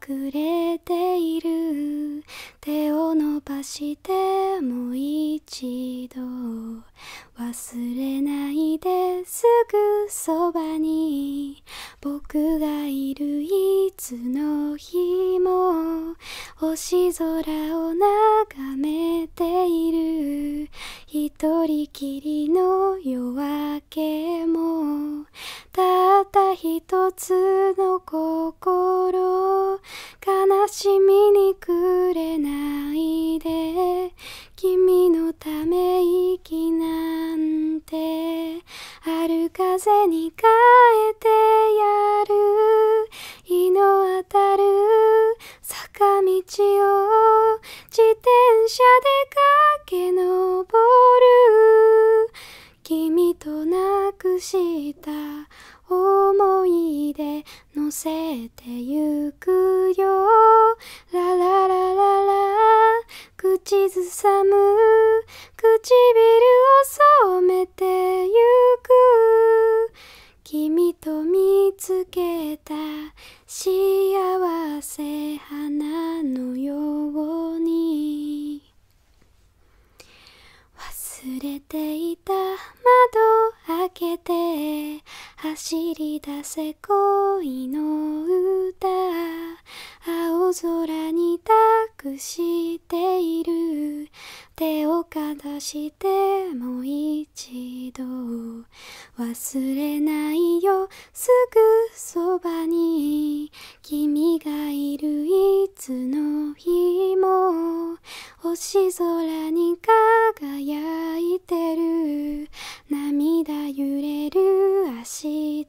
隠れている手を伸ばしてもう一度忘れないですぐそばに僕がいるいつの日も星空を眺めている一人きりの夜明けもたった一つの心悲しみにくれないで君のため息なんてある。風に変えてやる日の当たる坂道を自転車で駆け上る君となくした思い出のせてゆくよラララララ口ずさむ唇を染めれてゆく君と見つけた幸せ花のように忘れていた窓開けて走り出せ恋の歌青空に託している手をかざしてもう一度忘れないよすぐそばに君がいるいつの日も星空に輝いてる涙揺れる明日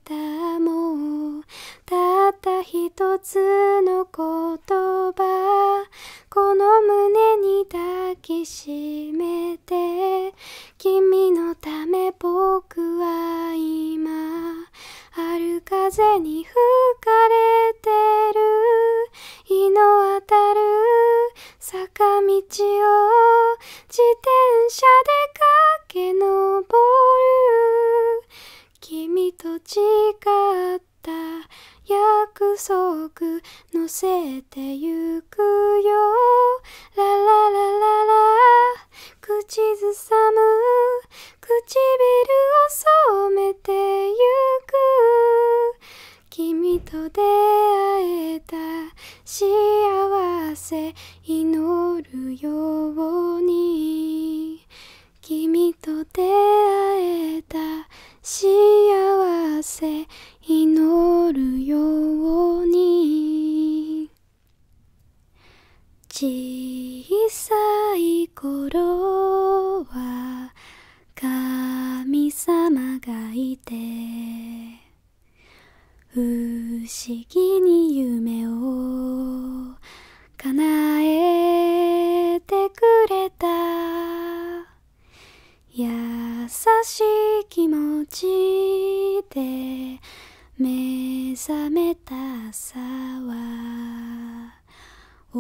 もたった一つの言葉この胸に抱きしめて君のため僕は今春風に吹かれてる日の当たる坂道を自転車で駆け上る君と誓ってった約束のせてゆくよラララララ口ずさむ唇を染めてゆく君と出会えた幸せ祈るように君と出会えた幸せ祈るように小さい頃は神様がいて不思議に夢を叶えてくれた優しい気持ちで目覚めた朝は大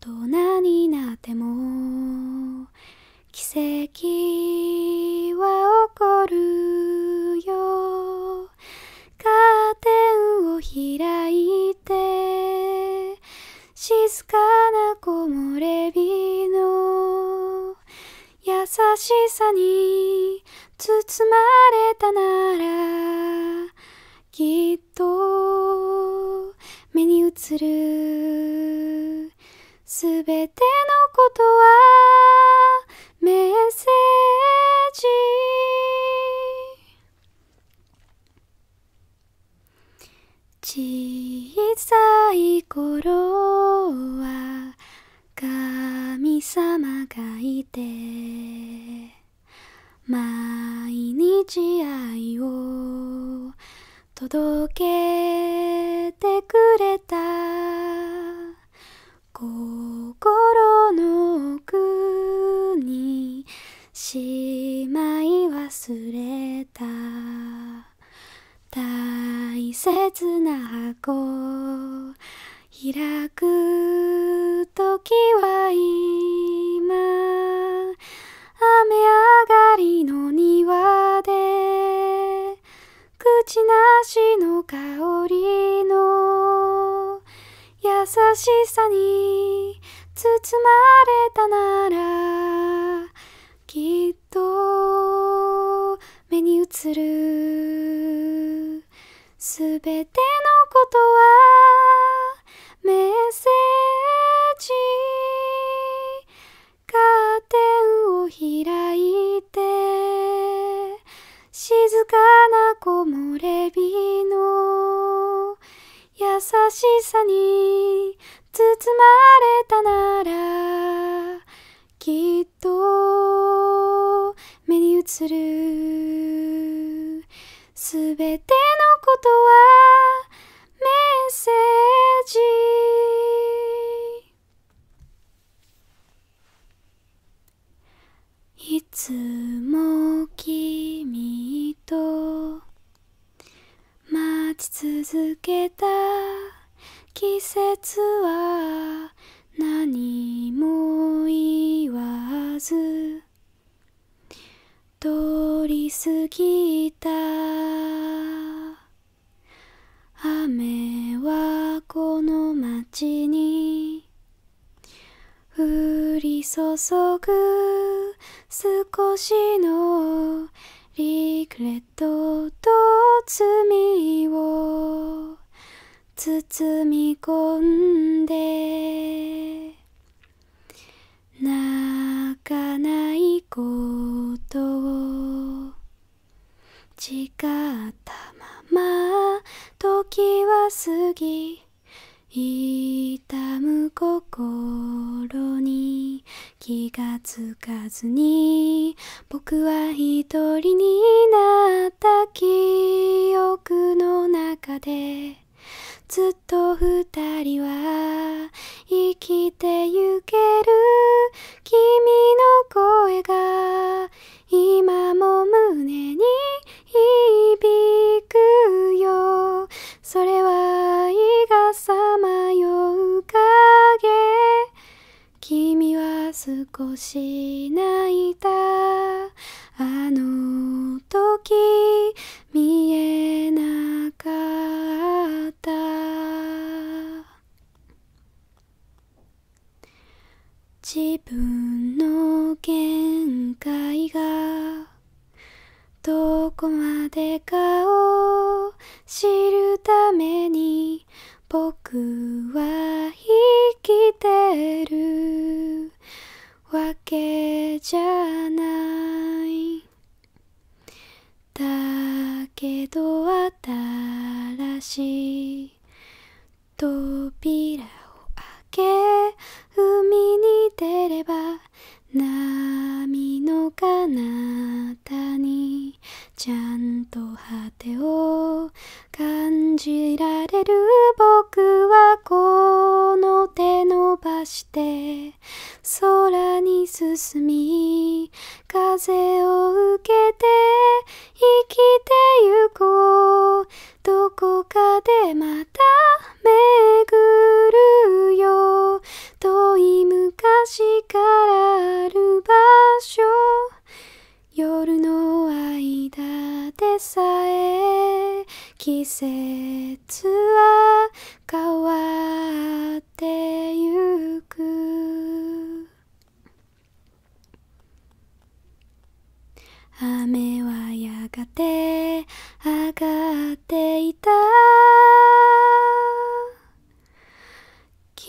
人になっても奇跡は起こるよカーテンを開いていて静かな木漏れ日の優しさに包まれたならきっと目に映るすべてのことはメッセージ小さい頃は神様がいて毎日愛を届けてくれた心の奥にしまい忘れた大切な箱開く時は今雨上がりの庭で口なしの香りの優しさに包まれたならきっと目に映るすべてのことはメッセージカーテンを開いて静かな木漏れ日の優しさに包まれたならきっと目に映るすべてのことはメッセージいつも君と待ち続けた季節は何も言わず通り過ぎた雨はこの街に降り注ぐ少しのリグレットと罪を包み込んで泣かないことを誓ったまま時は過ぎ痛む心に気がつかずに僕は一人になった記憶の中でずっと二人は生きてゆける君の声が今も胸に響くよそれは愛がさまう影君は少し泣いたあの時見えなかった自分の限界がどこまでかを知るために僕は生きてるわけじゃないだけど新しい扉を開け海に出れば波の彼方にちゃんと果てを感じられる僕はこの手伸ばして空に進み風を受けて生きてゆこうどこかで待巡るよ遠い昔からある場所夜の間でさえ季節は変わってゆく雨はやがて上がっていた記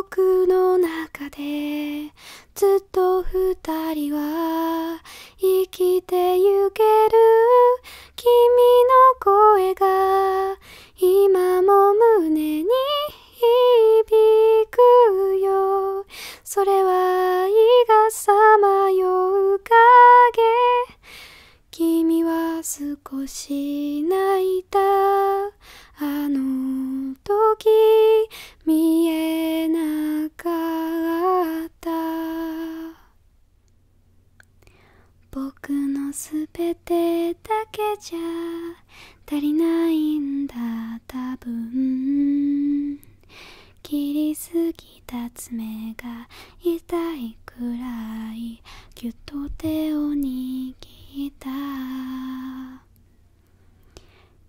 憶の中でずっと二人は生きてゆける君の声が今も胸に響くよそれは愛がさまよう影君は少し泣いたあの時見えなかった僕のすべてだけじゃ足りないんだ多分切りすぎきた爪が痛いくらいぎゅっと手を握った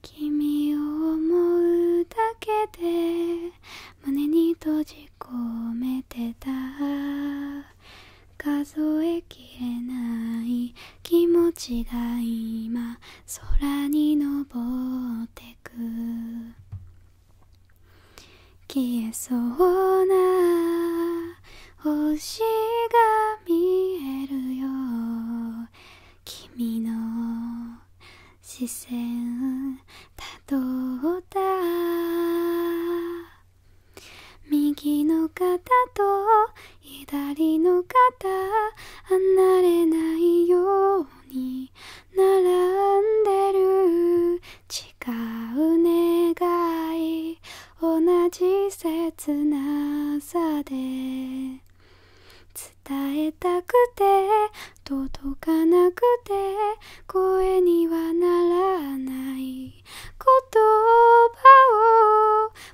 君を思うだけで胸に閉じ込めてた数えきれない気持ちが今空に昇ってく消えそうな星が見えるよ君の視線たどった右の方と左の方離れないように並んでる違う願い同じ切なさで伝えたくて届かなくて声にはならない言葉を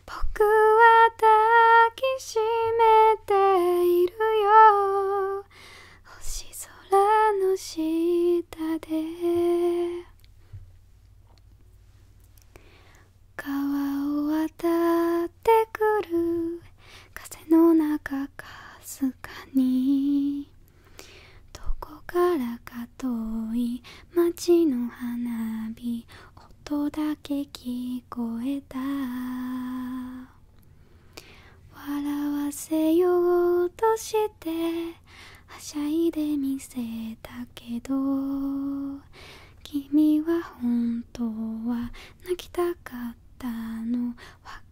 僕は抱きしめているよ星空の下で川を渡ってくる風の中かすかにどこからか遠い町の花火音だけ聞こえた笑わせようとしてはしゃいで見せたけど君は本当は泣きたかったの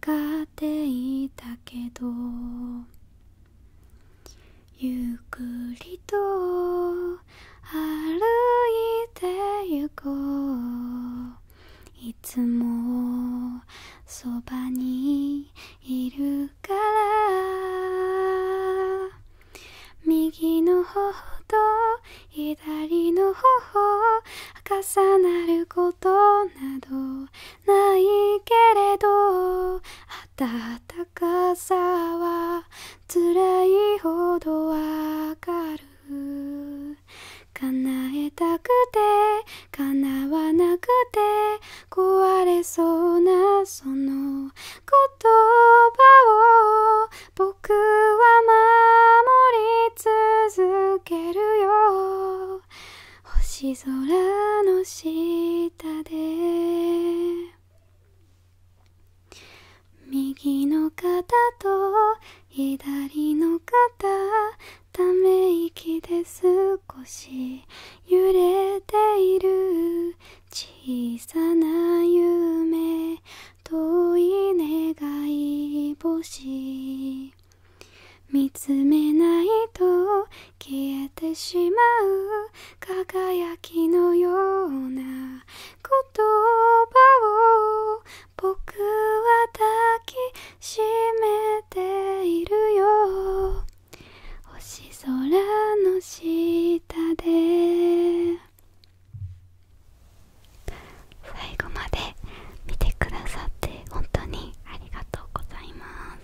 分かっていたけどゆっくりと歩いてゆこういつもそばにいるから右の頬と左の頬重なることなどないけれど暖かさは辛いほどわかる叶えたくて叶わなくて壊れそうなその言葉を僕は守り続けるよ星空の下で右の肩と左の肩ため息です少し揺れている小さな夢遠い願い星見つめないと消えてしまう輝きのような言葉を僕は抱き湿っているよ星空の下で最後まで見てくださって本当にありがとうございま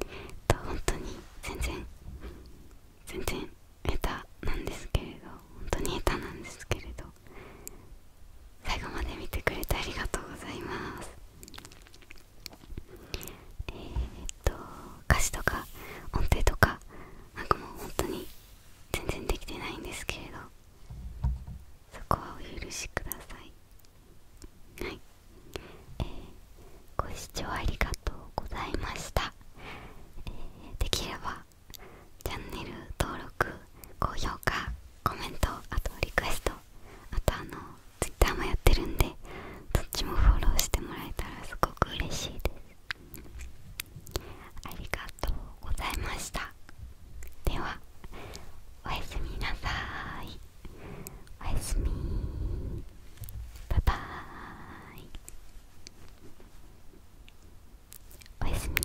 すと本当に全然全然下手なんですけれど本当に下手なんですけれど最後まで見てくれてありがとうございますえっと歌詞とか音程とかなんかもう本当に全然できてないんですけれどそこはお許しくださいはいえご視聴ありがとうございました、えできればチャンネル登録高評価コメントあとリクエストあとあの Twitter もやってるんでどっちもフォローしてもらえたらすごく嬉しいですありがとうございましたではおやすみなさいおやすみバイバーイおやすみ